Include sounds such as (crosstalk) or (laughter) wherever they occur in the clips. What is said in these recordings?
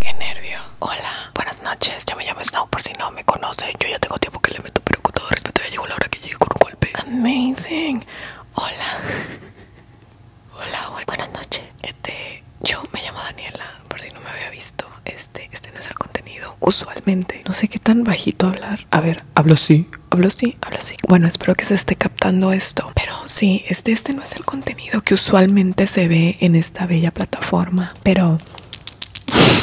Qué nervio. Hola, buenas noches. ya me llamo Snow por si no me conoce. Yo ya tengo tiempo que le meto, pero con todo respeto ya llegó la hora que llegue con un golpe. Amazing. Hola. (laughs) Hola, buenas, noches. Este, yo me llamo Daniela, por si no me había visto. Este, este no es el contenido usualmente. No sé qué tan bajito hablar. A ver, hablo sí, hablo sí, hablo sí. Bueno, espero que se esté captando esto. Pero sí, este, este no es el contenido que usualmente se ve en esta bella plataforma. Pero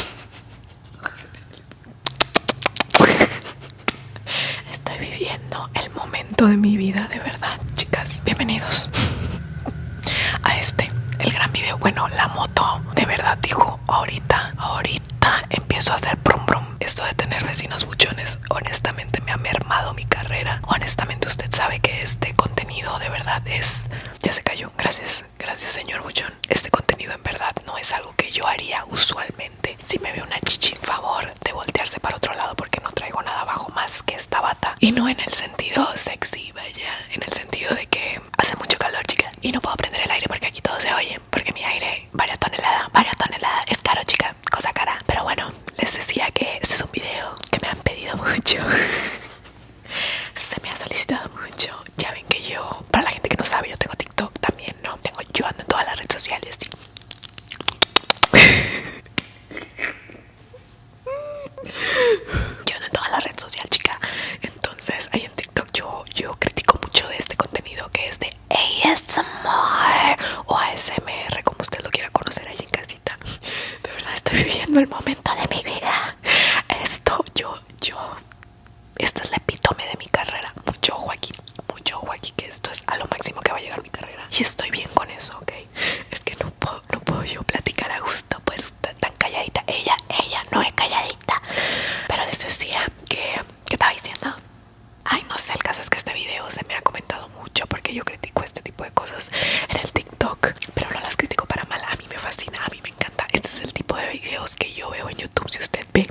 (laughs) (laughs) Estoy viviendo el momento de mi vida, de verdad, chicas. Bienvenidos a este, el gran video. Bueno, la moto, de verdad, dijo, ahorita, ahorita empiezo a hacer brum brum Esto de tener vecinos buchones, honestamente, me ha mermado mi carrera. Honestamente, usted sabe que este contenido, de verdad, es... Ya se cayó. Gracias, gracias, señor buchón. Este contenido, en verdad, no es algo que yo haría usualmente si me ve una chichi, favor de voltearse para otro lado porque no traigo nada abajo más que esta bata. Y no en el sentido sexy, vaya, en el sentido de que hace mucho calor, chica. Y no puedo prender el aire porque aquí todo se oye. Porque mi aire, varias tonelada, varias tonelada, es caro, chica, cosa cara. Pero bueno, les decía que este es un video que me han pedido mucho. (laughs) se me ha solicitado mucho. Ya ven que yo para la gente que no sabe, yo tengo TikTok también, ¿no? Tengo, yo ando en todas las redes sociales. así. Yo ando en todas las redes sociales, chica. Entonces, ahí en TikTok yo, yo critico mucho de este contenido que es de ASMR o ASMR, como usted lo quiera conocer ahí en casita. De verdad, estoy viviendo el momento de mi vida. Esto, yo, yo esto es la epítome de mi carrera. Mucho ojo aquí, mucho ojo aquí, que esto es a lo máximo que va a llegar mi carrera. Y estoy bien con eso, ¿ok? Es que no puedo, no puedo yo platicar a gusto, pues tan calladita. Ella, ella no es calladita. Pero les decía que... ¿Qué estaba diciendo? Ay, no sé, el caso es que este video se me ha comentado mucho porque yo critico este tipo de cosas en el TikTok, pero no las critico para mal. A mí me fascina, a mí me encanta. Este es el tipo de videos que yo veo en YouTube. Si usted ve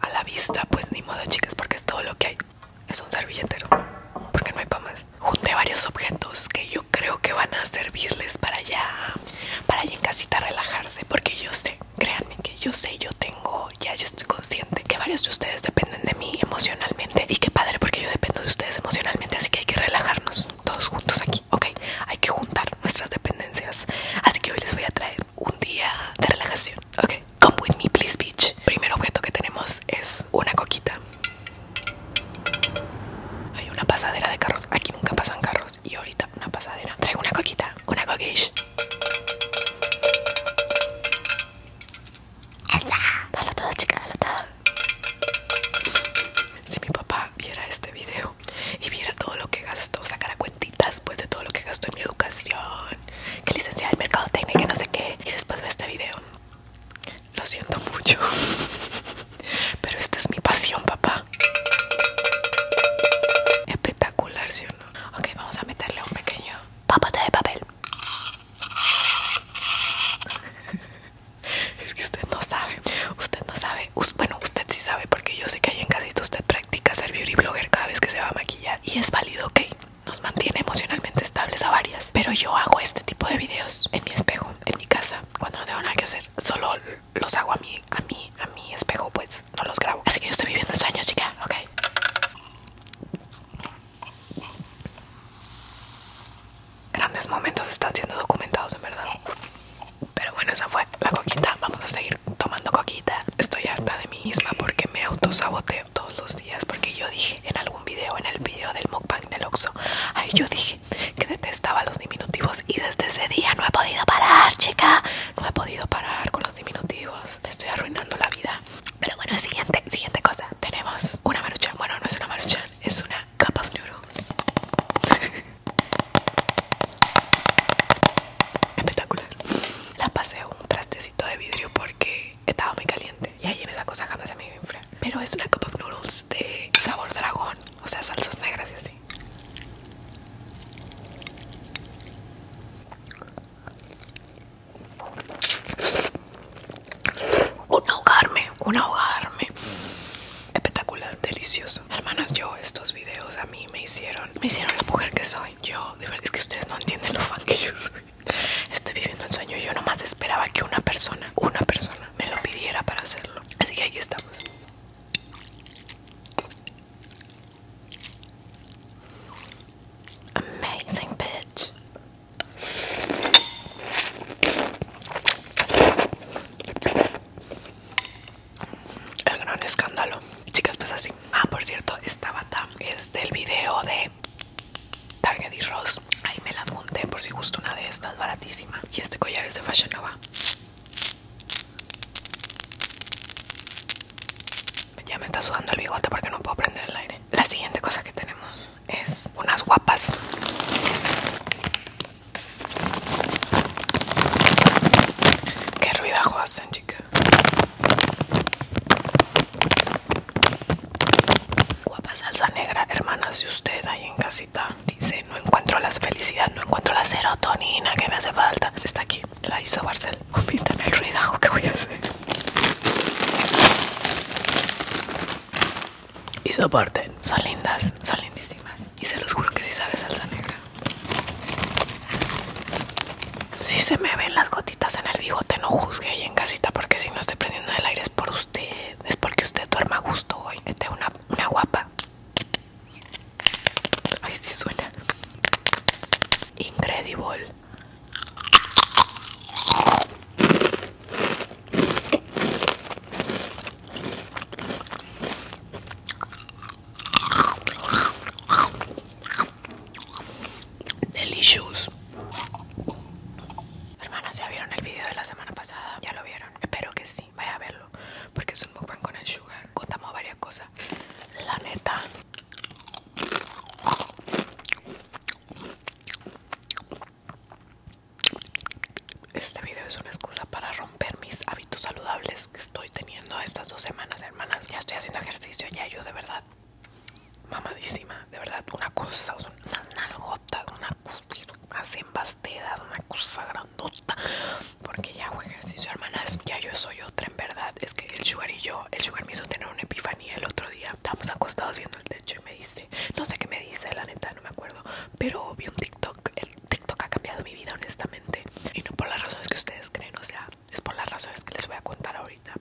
a la vista, pues ni modo chicas, porque es todo lo que hay. Es un servilletero, porque no hay para más. Junté varios objetos que yo creo que van a servirles para allá, para allá en casita relajarse, porque yo sé, créanme que yo sé, yo tengo, ya yo estoy consciente que varios de ustedes dependen de mí emocionalmente. Y qué padre, porque yo dependo de ustedes emocionalmente, así que hay que relajarnos todos juntos aquí, ¿ok? Hay que juntar nuestras dependencias. Así que hoy les voy a traer un día de relajación Ok, come with me, please, bitch. Primer objeto que tenemos es una coquita. Hay una pasadera de carros. Aquí nunca pasan carros. Y ahorita una pasadera. Traigo una coquita. Una coquish. Esa. Dalo todo, chica, dalo todo. Si mi papá viera este video y viera todo lo que gastó, sacara después pues, de todo lo que gastó en mi educación, que licenciada en mercado que no sé qué. Y después de este video. Lo siento mucho, (laughs) pero esta es mi pasión, papá. Espectacular, si o no? Ok, vamos a meterle un pequeño papá de papel. (laughs) es que usted no sabe, usted no sabe. Bueno, usted sí sabe porque yo sé que hay en casita usted practica ser beauty blogger cada vez que se va a maquillar y es válido, ok. Nos mantiene emocionalmente estables a varias. Pero yo hago este tipo de videos en mi espejo, en mi casa, cuando no tengo nada que hacer. Solo los hago a mí, a mí, a mi espejo, pues no los grabo. Así que yo estoy viviendo sueños, chica, ok. Grandes momentos están siendo documentados en verdad. Pero bueno, esa fue la, coquita, vamos a seguir tomando coquita. Estoy harta de mí misma porque me autosaboteo todos los días. Porque yo dije en algún video, en el video del mukbang del Oxo, ay, yo dije que detestaba los diminutivos y desde ese día no he podido parar, chica. No he podido parar con los diminutivos. Me estoy arruinando la vida. Pero bueno, siguiente, siguiente cosa. Tenemos una maruchan. Bueno, no es una maruchan, es una cup of noodles. (laughs) espectacular. La pasé un trastecito de vidrio porque estaba muy caliente y ahí en esa cosa jamás se me iba a enfriar. Pero es una cup of noodles de sabor dragón, o sea, salsas negras y así. Un ahogarme, un ahogarme. Espectacular, delicioso. Hermanas, yo estos videos a mí me hicieron, me hicieron la mujer que soy yo. De verdad es que ustedes no entienden lo fan que yo soy. Estoy viviendo el sueño. Yo nomás esperaba que una persona, una persona, me lo pidiera para hacerlo. Así que aquí estamos. Amazing bitch. El gran escándalo. Chicas, pues así. Ah, por cierto, esta bata es este, del video de Target y Rose. Ahí me la adjunté por si gusto una de estas, baratísima. Y este collar es de Fashion Nova. Ya me está sudando el bigote porque no puedo prender el aire. La siguiente cosa que tenemos es unas guapas. Qué ruido hacen, Guapa salsa negra, hermanas de usted ahí en casita. Dice, no encuentro las felicidad, no encuentro la serotonina que me hace falta. Está aquí, la hizo Barcel. (laughs) en el ruidajo que voy a hacer. Y soporten, son lindas, son lindísimas. Y se los juro que si sí sabe salsa negra. Si se me ven las gotitas en el bigote, no juzgue ahí en casita porque si no estoy prendiendo el aire es por usted. Es porque usted duerma a gusto hoy. Esta una, guapa. Ay, si suena. Incredible. Delicious. Hermanas, ¿ya vieron el video de la semana pasada? ¿Ya lo vieron? Espero que sí, vaya a verlo. Porque es un mukbang con el sugar. Contamos varias cosas. La neta. Este video es una excusa para romper mis hábitos saludables estoy teniendo estas dos semanas, hermanas. Ya estoy haciendo ejercicio, ya yo de verdad, mamadísima, de verdad, una cosa, una nalgotas, una cosa así una cosa grandota. Porque ya hago ejercicio, hermanas. Ya yo soy otra, en verdad. Es que el Sugar y yo, el Sugar me hizo tener una epifanía el otro día. Estamos acostados viendo el techo y me dice, no sé qué me dice, la neta, no me acuerdo. Pero vi un TikTok, el TikTok ha cambiado mi vida, honestamente. Y no por las razones que ustedes creen, o sea, es por las razones que les voy a contar ahorita.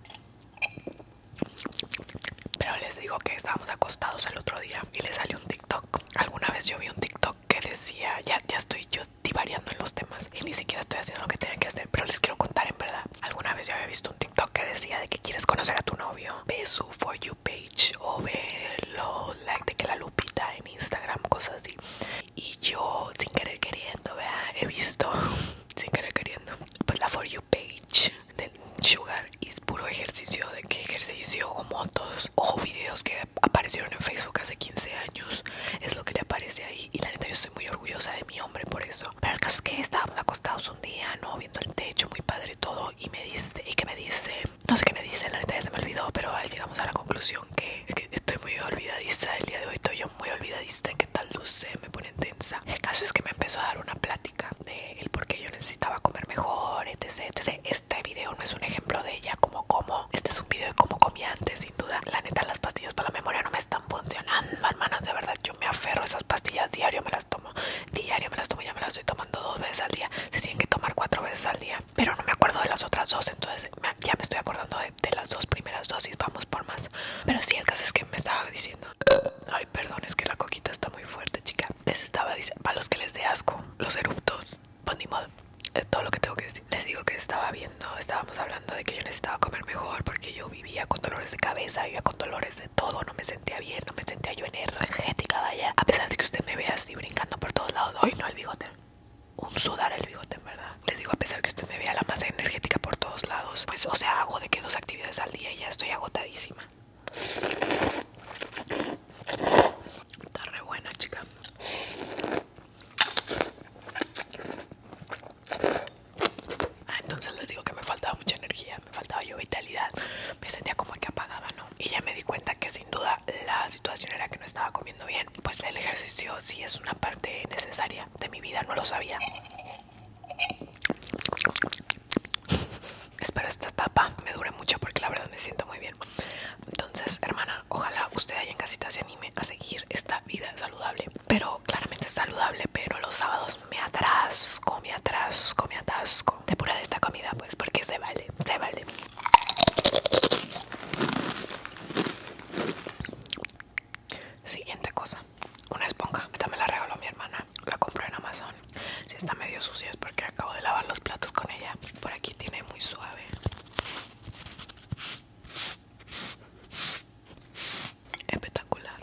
Pero les digo que estábamos acostados el otro día y le salió un TikTok. Alguna vez yo vi un TikTok que decía, ya, ya estoy yo divariando en los temas y ni siquiera estoy haciendo lo que tenía que hacer, pero les quiero contar en verdad. Alguna vez yo había visto un TikTok que decía de que quieres conocer a tu novio, ve su For You page o ve lo like de que la lupita en Instagram, cosas así y yo sin querer queriendo vea he visto (laughs) sin querer queriendo pues la for you page de Sugar y es puro ejercicio de que ejercicio como todos o videos que aparecieron en Facebook hace 15 años es lo que le aparece ahí y la neta yo estoy muy orgullosa de mi hombre por eso pero el caso es que estábamos acostados un día no viendo el techo muy padre todo y me dice y que me dice no sé qué me dice la neta ya se me olvidó pero llegamos a la conclusión que estoy muy olvidadiza el día de hoy, estoy muy olvidadista ¿Qué que tal luce, me pone tensa. El caso es que me empezó a dar una plática de el por qué yo necesitaba comer mejor, etc, etc. Este video no es un ejemplo de ella como como, este es un video de cómo comía antes, sin duda. La neta, las pastillas para la memoria no me están funcionando, hermanas, de verdad, yo me aferro a esas pastillas, diario me las tomo, diario me las tomo, ya me las estoy tomando dos veces al día, se tienen que tomar cuatro veces al día, pero no me acuerdo de las otras dos, entonces ya me estoy acordando de de las dos primeras dosis vamos por más pero sí el caso es que me estaba diciendo ay perdón es que la coquita está muy fuerte chica les estaba diciendo para los que les dé asco los eruptos pues ni modo de todo lo que tengo que decir les digo que estaba viendo estábamos hablando de que yo necesitaba comer mejor porque yo vivía con dolores de cabeza vivía con dolores de todo no me sentía bien no me sentía yo energética vaya a pesar de que usted me vea así brincando por todos lados hoy no el bigote un sudar el bigote, en verdad. Les digo, a pesar que usted me vea la masa energética por todos lados, pues, o sea, hago de que dos actividades al día y ya estoy agotadísima. Está re buena, chica. Ah, entonces les digo que me faltaba mucha energía, me faltaba yo vitalidad. Me sentía como que apagaba ¿no? Y ya me di cuenta que sin duda la situación era que no estaba comiendo bien, pues el ejercicio sí es una parte necesaria de mi vida, no lo sabía. Espero esta etapa me dure mucho porque la verdad me siento muy bien. Entonces, hermana, ojalá usted ahí en casita se anime a seguir esta vida saludable. Pero claramente saludable, pero los sábados me atrasco, me atrasco, me atasco. De pura de esta comida, pues, porque se vale, se vale. Siguiente cosa, una esponja. Esta me la regaló mi hermana. La compré en Amazon. Si está medio sucia es porque acabo de lavar los platos con ella. Por aquí tiene muy suave. Espectacular.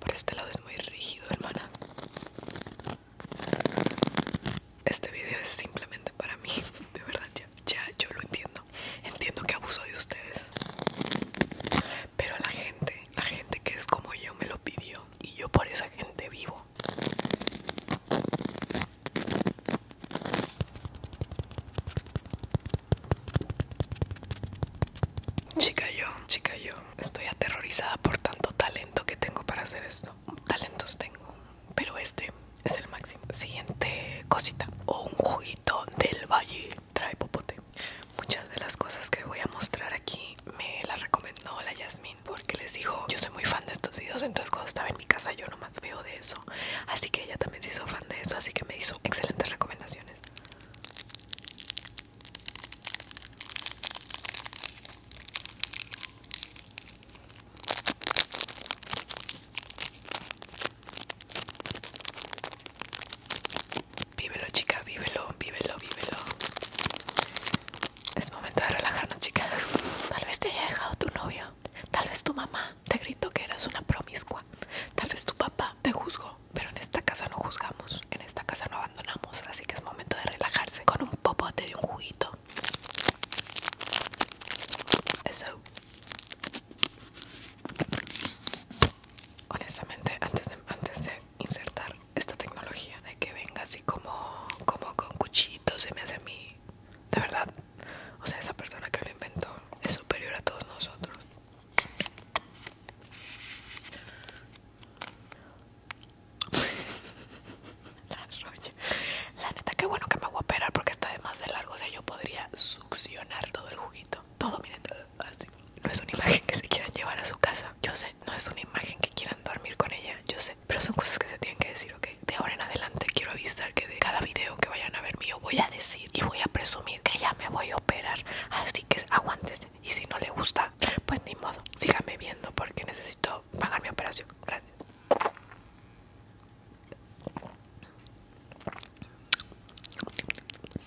Por este lado es muy rígido, hermana. Este video es simplemente para mí, (laughs) de verdad, ya, ya yo lo entiendo. Entiendo que abuso de ustedes. Pero la gente, la gente que es como yo me lo pidió y yo por esa gente vivo. Chica yo, chica yo, estoy aterrorizada por tanto talento que tengo para hacer esto. Talentos tengo, pero este es el máximo. Siguiente cosita, o un juguito del valle, trae popote. Muchas de las cosas que voy a mostrar aquí me las recomendó la Yasmin porque les dijo, yo soy muy fan de estos videos, entonces cuando estaba en mi casa yo nomás veo de eso. Así que ella también se hizo fan de eso, así que me hizo excelentes recomendaciones. Vívelo, chica, vívelo, vívelo, vívelo. Es momento de relajarnos, chicas Tal vez te haya dejado tu novio. Tal vez tu mamá te gritó que eras una promiscua. Tal vez tu papá te juzgó. Pero en esta casa no juzgamos. En esta casa no abandonamos. Así que es momento de relajarse. Con un popote de un juguito eso. Honestamente, antes de, antes de insertar esta tecnología, de que venga así como, como con cuchitos, se me hace a mí. De verdad, o sea, esa persona que lo inventó es superior a todos nosotros. (laughs) La roya. La neta, qué bueno que me voy a operar porque está de más de largo. O sea, yo podría succionar todo el juguito. Todo, miren, así. No es una imagen que se quieran llevar a su casa. Yo sé, no es una imagen que quieran dormir con ella. Yo sé, pero son cosas que se tienen que decir, ¿ok? De ahora en adelante quiero avisar que de cada video que vayan a ver mío voy a decir y voy a presumir que ya me voy a operar. Así que aguántese Y si no le gusta, pues ni modo. Síganme viendo porque necesito pagar mi operación. Gracias.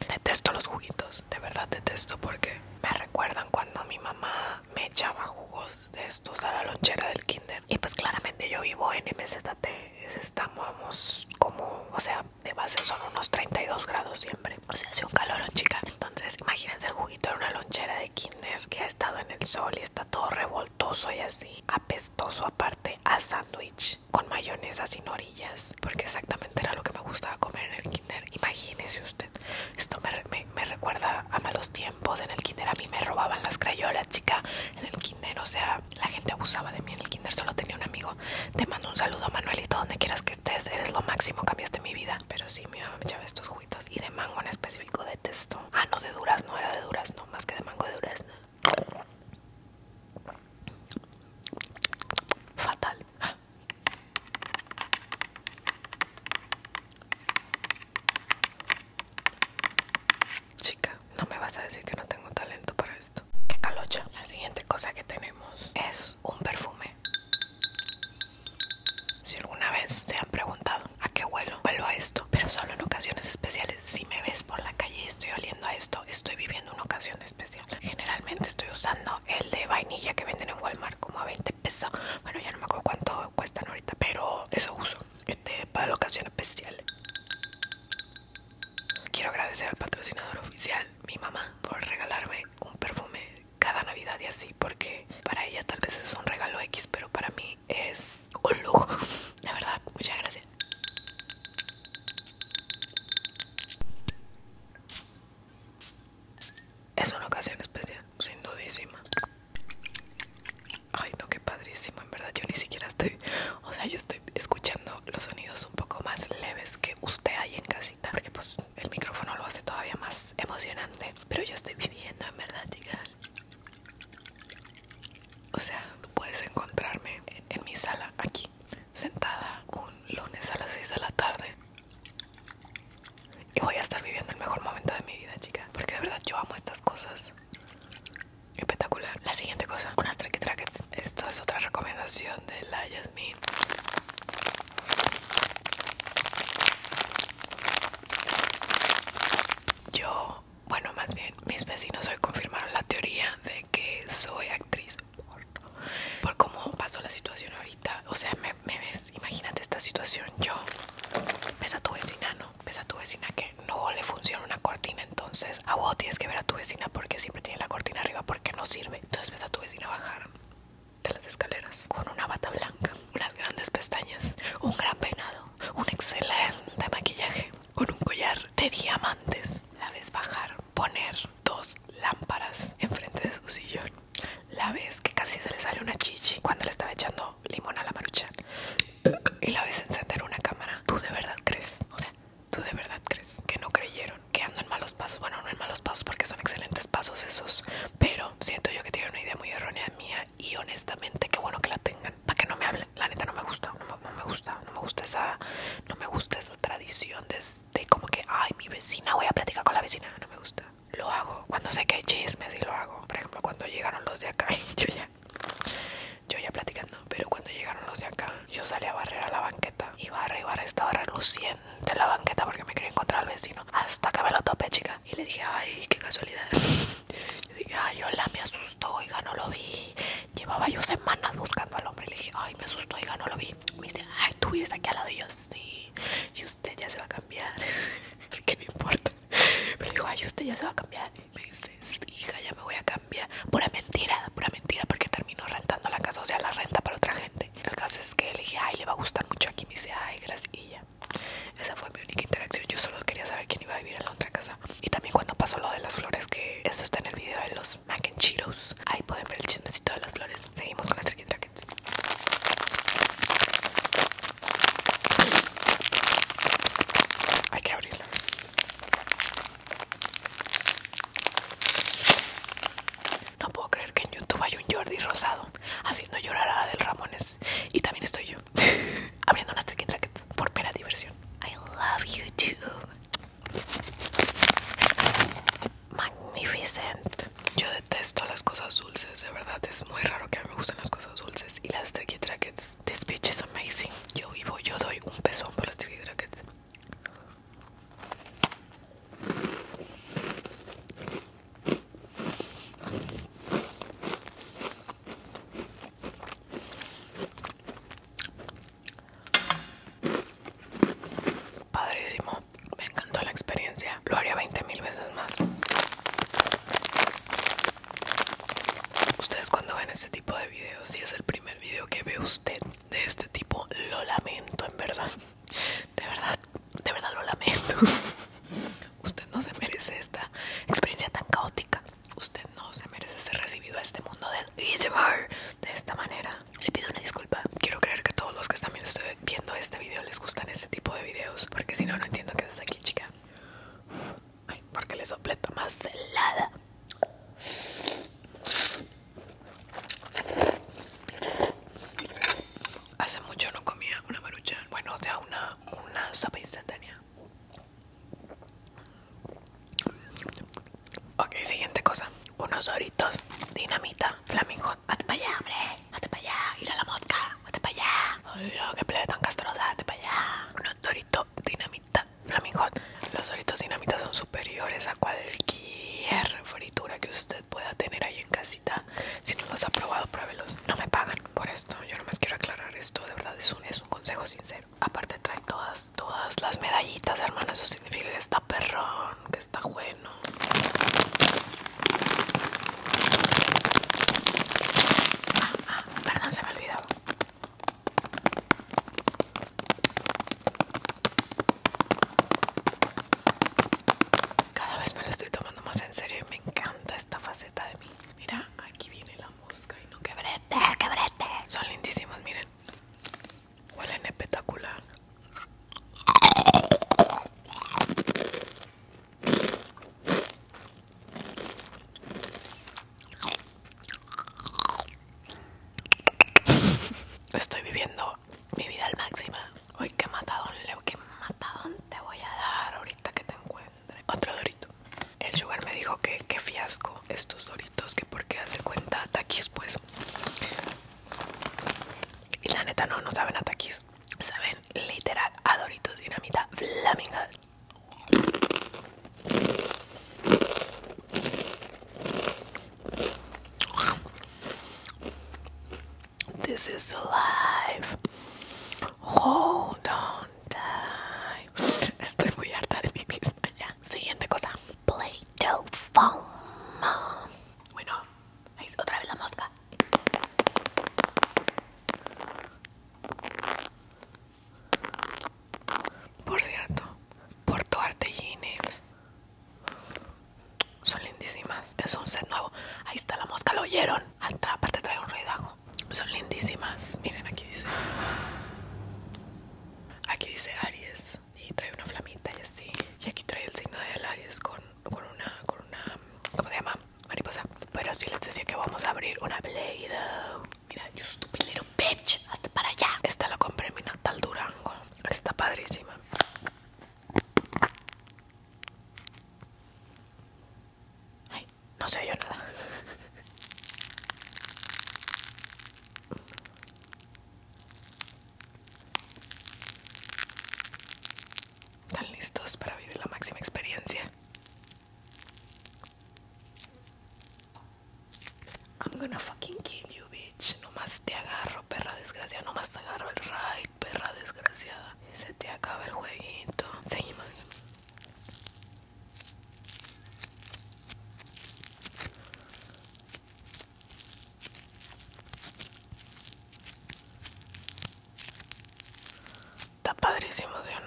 Detesto los juguitos, de verdad detesto porque me recuerdan cuando mi mamá me echaba jugos de estos a la lonchera del kinder. Y pues claramente yo vivo en MZT, estamos como, o sea, de base son unos 32 grados siempre. O sea, hace un en chica. Entonces, imagínense el juguito de una lonchera de kinder que ha estado en el sol y está todo revolto apestoso y así apestoso aparte a sándwich con mayonesa sin orillas porque exactamente era lo que me gustaba comer en el kinder imagínese usted esto me, recuerda a malos tiempos en el kinder a mí me robaban las crayolas chica en el kinder o sea la gente abusaba de mí en el kinder solo tenía un amigo te mando un saludo Manuelito donde quieras que estés eres lo máximo cambiaste mi vida pero sí mi mamá me echaba estos juguitos y de mango en específico detesto ah no de duras no era de duras no más que de mango de durazno. Fatal. Chica, no me vas a decir que no tengo talento para esto. Qué calocha. La siguiente cosa que tenemos es un perfume. Si alguna vez se han preguntado a qué vuelo, vuelvo a esto, pero solo en ocasiones especiales si me ves por la calle y estoy oliendo a esto, estoy viviendo una ocasión especial. Generalmente estoy usando el de vainilla que venden en Walmart como a 20 pesos. Bueno, ya no me acuerdo cuánto cuestan ahorita, pero eso uso. Este para la ocasión especial. Quiero agradecer al patrocinador oficial, mi mamá, por regalarme un perfume cada Navidad y así, porque para ella tal vez es un regalo X, pero para mí es un lujo, (laughs) la verdad. Muchas gracias. Es una ocasión especial, sin dudísima. Ay, no, qué padrísimo, en verdad. Yo ni siquiera estoy, o sea, yo estoy escuchando los sonidos un poco más leves que usted ahí en casita, porque pues el micrófono lo hace todavía más emocionante. Pero yo estoy viviendo, en verdad, chicas. O sea, puedes encontrarme en, mi sala aquí, sentada un lunes a las 6 de la tarde. Y voy a estar viviendo el mejor momento de mi vida, chica. Porque de verdad yo amo estas cosas. Espectacular. La siguiente cosa, unas tracky trackets. Esto es otra recomendación de la Yasmin. Yo bueno, más bien mis vecinos hoy confirmaron la teoría de que soy actriz Por cómo pasó la situación ahorita, o sea, me, me ves, imagínate esta situación, yo ves a tu vecina, ¿no? Ves a tu vecina que no le funciona una cortina, entonces a vos tienes que ver a tu vecina porque siempre tiene la cortina arriba porque no sirve. Entonces ves a tu vecina bajar de las escaleras con una bata blanca, unas grandes pestañas, un gran peinado, un excelente maquillaje con un collar de diamantes. La ves bajar, poner dos lámparas enfrente de su sillón. La ves que casi se le sale una chichi cuando le estaba echando limón a la marucha. Y la ves encender una cámara. ¿Tú de verdad crees? O sea, ¿tú de verdad crees que no creyeron? Que ando en malos pasos. Bueno, no en malos pasos porque son excelentes pasos esos. Pero siento yo que tienen una idea muy errónea mía y honestamente qué bueno que la tengan para que no me hablen la neta no me gusta no me, gusta no me gusta esa no me gusta esa tradición de, como que ay mi vecina voy a platicar con la vecina no me gusta lo hago cuando sé que hay chismes y lo hago por ejemplo cuando llegaron los de acá (laughs) yo ya yo ya platicando pero cuando llegaron los de acá yo salí a barrer a la banqueta y arriba, y estaba reluciente la banqueta porque me quería encontrar al vecino hasta que me lo topé chica y le dije ay qué casualidad (laughs) ay, hola, me asustó, oiga, no lo vi. Llevaba yo semanas buscando al hombre. Le dije, ay, me asustó, oiga, no lo vi. Me dice, ay, tú vives aquí al lado. de yo, sí. Y usted ya se va a cambiar. (laughs) ¿Qué me importa? Me dijo, ay, usted ya se va a cambiar. me dice, hija, ya me voy a cambiar. Pura mentira, pura mentira, porque terminó rentando la casa, o sea, la renta para otra gente. El caso es que le dije, ay, le va a gustar mucho aquí. Me dice, ay, gracias. Y ya. Esa fue mi única interacción. Yo solo quería saber quién iba a vivir en la otra casa y también cuando pasó lo de las flores, que eso está en el video de los mac Ahí pueden ver el chismecito de las flores. Seguimos con las tricky trackets. Hay que abrirlo No puedo creer que en YouTube hay un Jordi rosado haciendo llorar a Adel Ramones. Y también estoy yo. (laughs) abriendo unas tricky por pera diversión. I love too Magnificent. Yo detesto las cosas dulces, de verdad es muy raro que a mí me gusten las cosas dulces y las tricky trackets. This bitch is amazing. Yo vivo, yo doy un pezón por las tricky Padrísimo, me encantó la experiencia. Lo haría 20 mil veces más. Ustedes cuando ven este tipo de videos, si es el primer video que ve usted de este tipo, lo lamento en verdad. De verdad, de verdad lo lamento. (laughs) Usted no se merece esta experiencia tan caótica. Usted no se merece ser recibido a este mundo de de esta manera. Le pido una disculpa. Quiero creer que todos los que también estoy viendo este video les gustan este tipo de videos. Porque si no, no entiendo qué haces aquí, chica. Ay, porque le soplé más helada. Hace mucho no comía una maruchan. Bueno, o sea, una, una sopa instantánea. Ok, siguiente cosa. Unos doritos, dinamita, flamingot. Vete para allá, hombre. para allá. Ir a la mosca. Vete para allá. Ay, no, qué tan castrosa. para allá. Unos doritos, dinamita, flamingot. Los doritos dinamita son superiores a cualquier fritura que usted pueda tener ahí en casita. Si no los ha probado, pruébelos. No me pagan por esto. Yo nomás quiero aclarar esto. De verdad, es un, es un consejo sincero. Aparte trae todas, todas las medallitas, hermano. Eso significa que está perrón, que está bueno. perdón, se me olvidaba. Cada vez me lo estoy tomando más en serio y me encanta esta faceta de mí. Mira, aquí viene la mosca y no quebré. Son lindísimos, miren. Huelen espectacular. Estoy viviendo mi vida al máximo. Uy, qué matadón, Leo, qué matadón te voy a dar ahorita que te encuentro otro dorito. El sugar me dijo que fiasco estos doritos, que porque hace cuenta taquis pues. Y la neta no, no saben a Saben literal a doritos dinamita flamingal. This is live. Hold on. (laughs) estoy muy harta de mí misma Siguiente cosa. Play-Doh foam. Bueno, otra vez la mosca. Por cierto, Porto Arte son lindísimas. Es un set nuevo. Ahí está la mosca, lo oyeron. Aparte trae un ruidajo. Son lindísimas. Miren, aquí dice. Aquí dice Aries y trae una flamita y así. Y aquí trae el signo del Aries con, con una, con una, ¿cómo se llama? Mariposa. Pero sí les decía que vamos a abrir una Blade. Mira, you stupid little bitch. Hasta para allá. Esta la compré en mi natal Durango. Está padrísima. Ay, no se oyó nada. ¿Están listos para vivir la máxima experiencia? I'm gonna fucking kill you, bitch. Nomás te agarro, perra desgraciada. Nomás te agarro el ride, perra desgraciada. Se te acaba el jueguito. Seguimos. Está padrísimo, de no?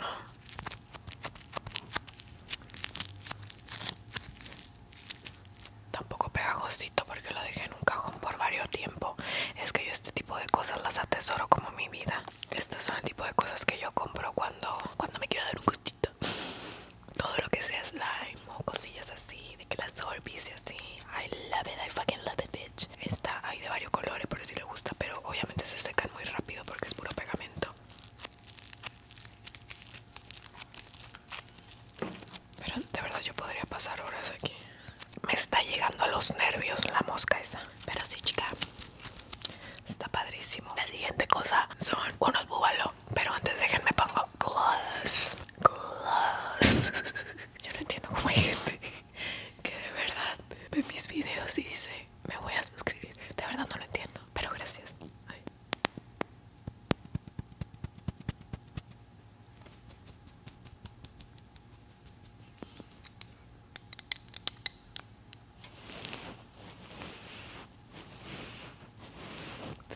Tampoco pegajosito porque lo dejé en un cajón por varios tiempo. Es que yo este tipo de cosas las atesoro como mi vida. Estas son el tipo de cosas que yo compro cuando, cuando me quiero dar un gustito. Todo lo que sea slime o cosillas así, de que las sol así. I love it, I fucking love it, bitch. Esta hay de varios colores, por si le gusta, pero obviamente se secan muy rápido porque es puro pegamento. Pero de verdad yo podría pasar horas aquí. Me está llegando a los nervios la mosca esa. Pero sí, chica, está padrísimo. La siguiente cosa son unos búbalos. Pero antes déjenme pongo Clothes Gloss. (laughs) Yo no entiendo cómo hay gente que de verdad ve mis videos dice, me voy a suscribir. De verdad no lo entiendo, pero gracias. Ay.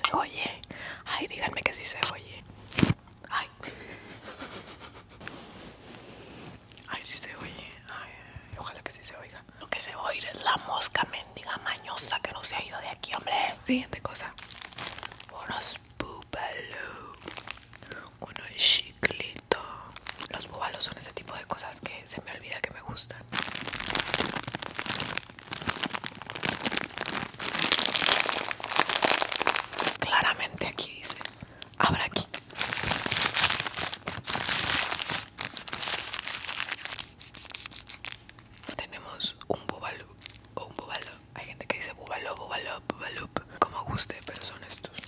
Se oye. Ay, díganme que sí se oye. Ay. Ay, sí se oye. Ay, ojalá que sí se oiga. Lo que se oye es la mosca mendiga mañosa que no se ha ido de aquí, hombre. Siguiente cosa. Unos búbalos. Unos chiclitos los búbalos son ese tipo de cosas que se me olvida que me gustan. Claramente aquí dice, Abra aquí. Tenemos un búbalo o un Hay gente que dice búvalo, búbalo, búbalo, como guste, pero son estos.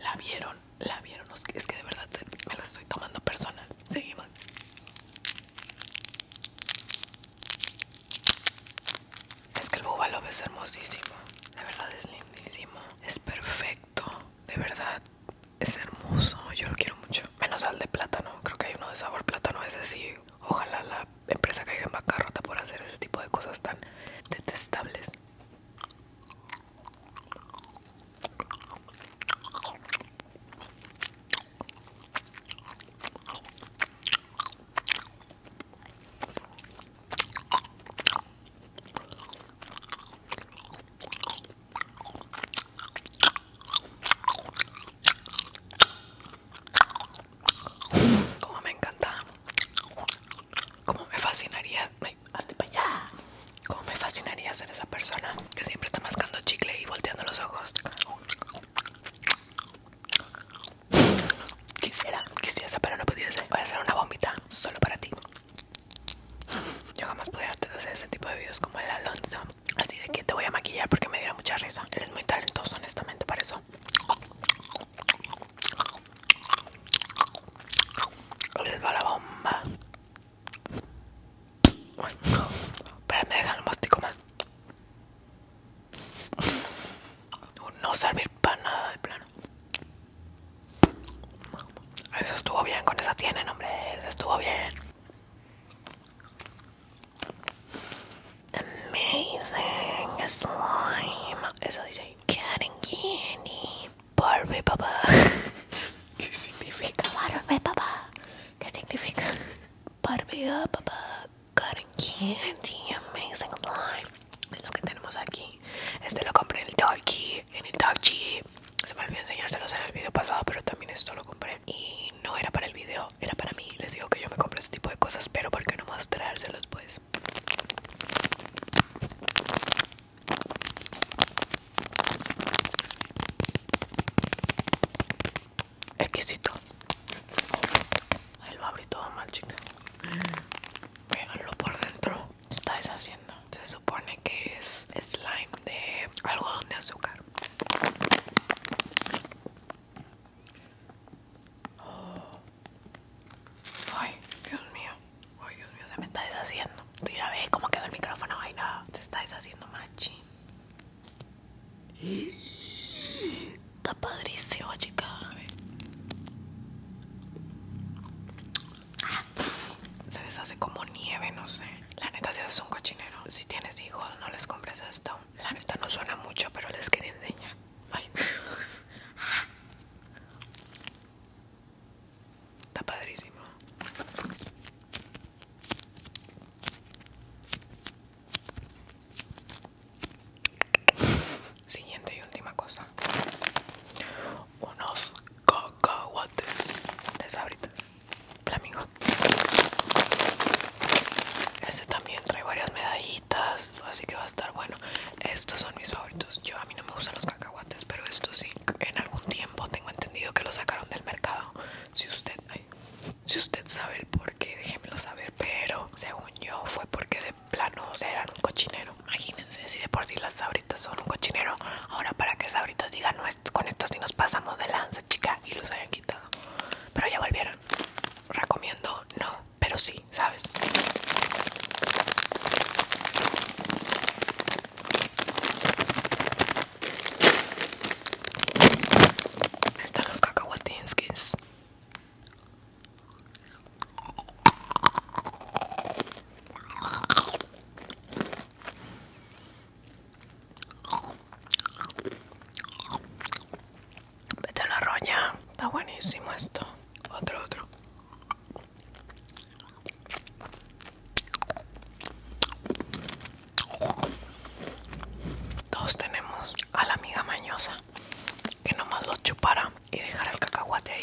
La vieron, la vieron. Es que de verdad me la estoy tomando personal. Seguimos. Es que el búbalo es hermosísimo. De verdad es lindísimo. Es perfecto. De verdad. Es hermoso. Yo lo quiero mucho. Menos al de plátano. Creo que hay uno de sabor plátano. Ese sí. Ojalá la empresa caiga en bancarrota por hacer ese tipo de cosas tan detestables. Como me encanta como me fascinaría, allá. Como me fascinaría ser esa persona que siempre está mascando chicle y volteando los ojos. Quisiera, quisiera, pero no pudiese. Voy a hacer una bombita solo para ti. Yo jamás pudiera hacer ese tipo de videos como el Alonso. Así de que te voy a maquillar porque me diera mucha risa. Eres muy talentoso, honestamente, para eso. Les va la bomba. Pero me dejan el mastico más. No servir para nada de plano. Eso estuvo bien, con esa tienen, hombre. Eso estuvo bien. Amazing slime. Eso dice. Barbie papá. ¿Qué significa Barbie papá? ¿Qué significa? Barbie papá. Cotton candy, amazing life. Es lo que tenemos aquí. Este lo compré en el en el Se me olvidó enseñárselos en el video pasado, pero también esto lo compré. Y no era para el video, era para mí. Les digo que yo me compro este tipo de cosas, pero ¿por qué no mostrárselos pues? Exquisito. Ahí lo abrí todo mal, chica. Véanlo por dentro. ¿Qué está deshaciendo. Se supone que es slime de algodón de azúcar. Oh, Ay, Dios mío. Ay, Dios mío, se me está deshaciendo. Mira, ve cómo quedó el micrófono. Ay, se está deshaciendo machi. Está padrísimo, chica. se deshace como nieve, no sé. La neta, si hace un cochinero. Si tienes hijos, no les compres esto. La neta no suena mucho, pero les quería enseñar. Ay. Está padrísimo. Siguiente y última cosa. Unos cacahuates de sabritas. amigo? Este también trae varias medallitas, así que va a estar bueno. Estos son mis favoritos. Yo a mí no me gustan los cacahuates, pero estos sí. En algún tiempo tengo entendido que los sacaron del mercado. Si usted, si usted sabe el porqué, déjemelo saber. Pero según yo fue porque de plano eran un cochinero. Imagínense si de por sí las sabritas son un cochinero. Ahora para que sabritas digan no con estos sí nos pasamos de lanza, chica, y los hayan quitado. Pero ya volvieron. Recomiendo no, pero sí, sabes. Están los cacahuatinskis. Vete a la roña. Está buenísimo esto. Otro, otro. Todos tenemos a la amiga mañosa que nomás lo chupara y dejara el cacahuate ahí.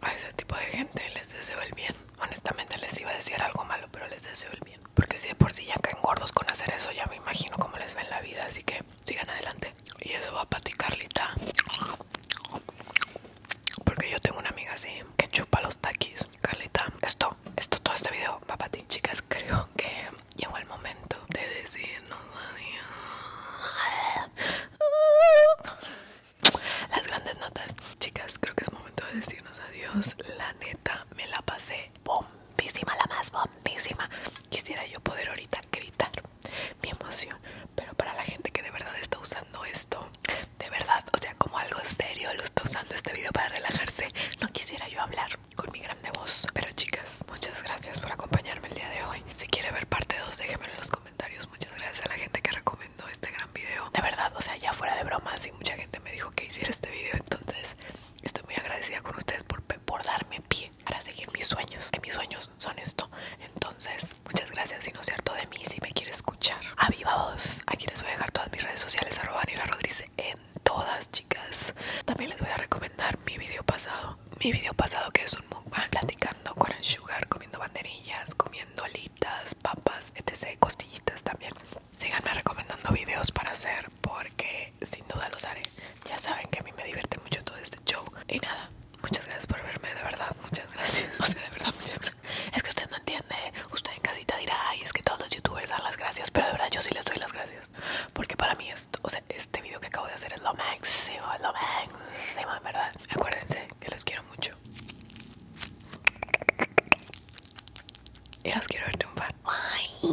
A ese tipo de gente les deseo el bien. Honestamente les iba a decir algo malo, pero les deseo el bien. Porque si de por sí ya caen gordos con hacer eso, ya me imagino cómo les ven la vida. Así que sigan adelante. Y eso va para ti, Carlita. Porque yo tengo una amiga así que chupa los taquis. Carlita, esto, esto, todo este video va para ti. Chicas, creo que llegó el momento de decirnos adiós. Las grandes notas. Chicas, creo que es momento de decirnos adiós. La neta, me la pasé bombísima, la más bombísima. Quisiera yo poder ahorita gritar mi emoción. Pero para la gente que de verdad está usando esto de verdad, o sea, como algo serio lo está usando este video para relajarse. No quisiera yo hablar con mi grande voz. Pero chicas, muchas gracias por acompañarme el día de hoy. Si quiere ver parte 2, déjenmelo en los comentarios. Muchas gracias a la gente que recomendó este gran video. De verdad, o sea, ya fuera de bromas y mucha gente me dijo que hiciera este video, entonces estoy muy agradecida con ustedes por, por darme pie para seguir mis sueños. Que mis sueños son esto. Entonces, muchas gracias, si no es cierto, de mí si me quiere escuchar. A Aquí les voy a dejar todas mis redes sociales, arroba la Rodríguez en todas, chicas. También les voy a recomendar mi video pasado. Mi video pasado que es un mukbang platicando con el sugar, comiendo banderillas, comiendo alitas, papas, etc. Costillitas también. Síganme recomendando videos para hacer porque sin duda los haré. Ya saben que a mí me divierte mucho todo este show. Y nada, Muchas gracias por verme, de verdad, muchas gracias. (laughs) O sea, de verdad, muchas gracias. Es que usted no entiende. Usted en casita dirá, ay, es que todos los youtubers dan las gracias, pero de verdad yo sí les doy las gracias. Porque para mí, esto, o sea, este video que acabo de hacer es lo máximo, lo máximo, de verdad. Acuérdense que los quiero mucho. Y los quiero ver un Bye.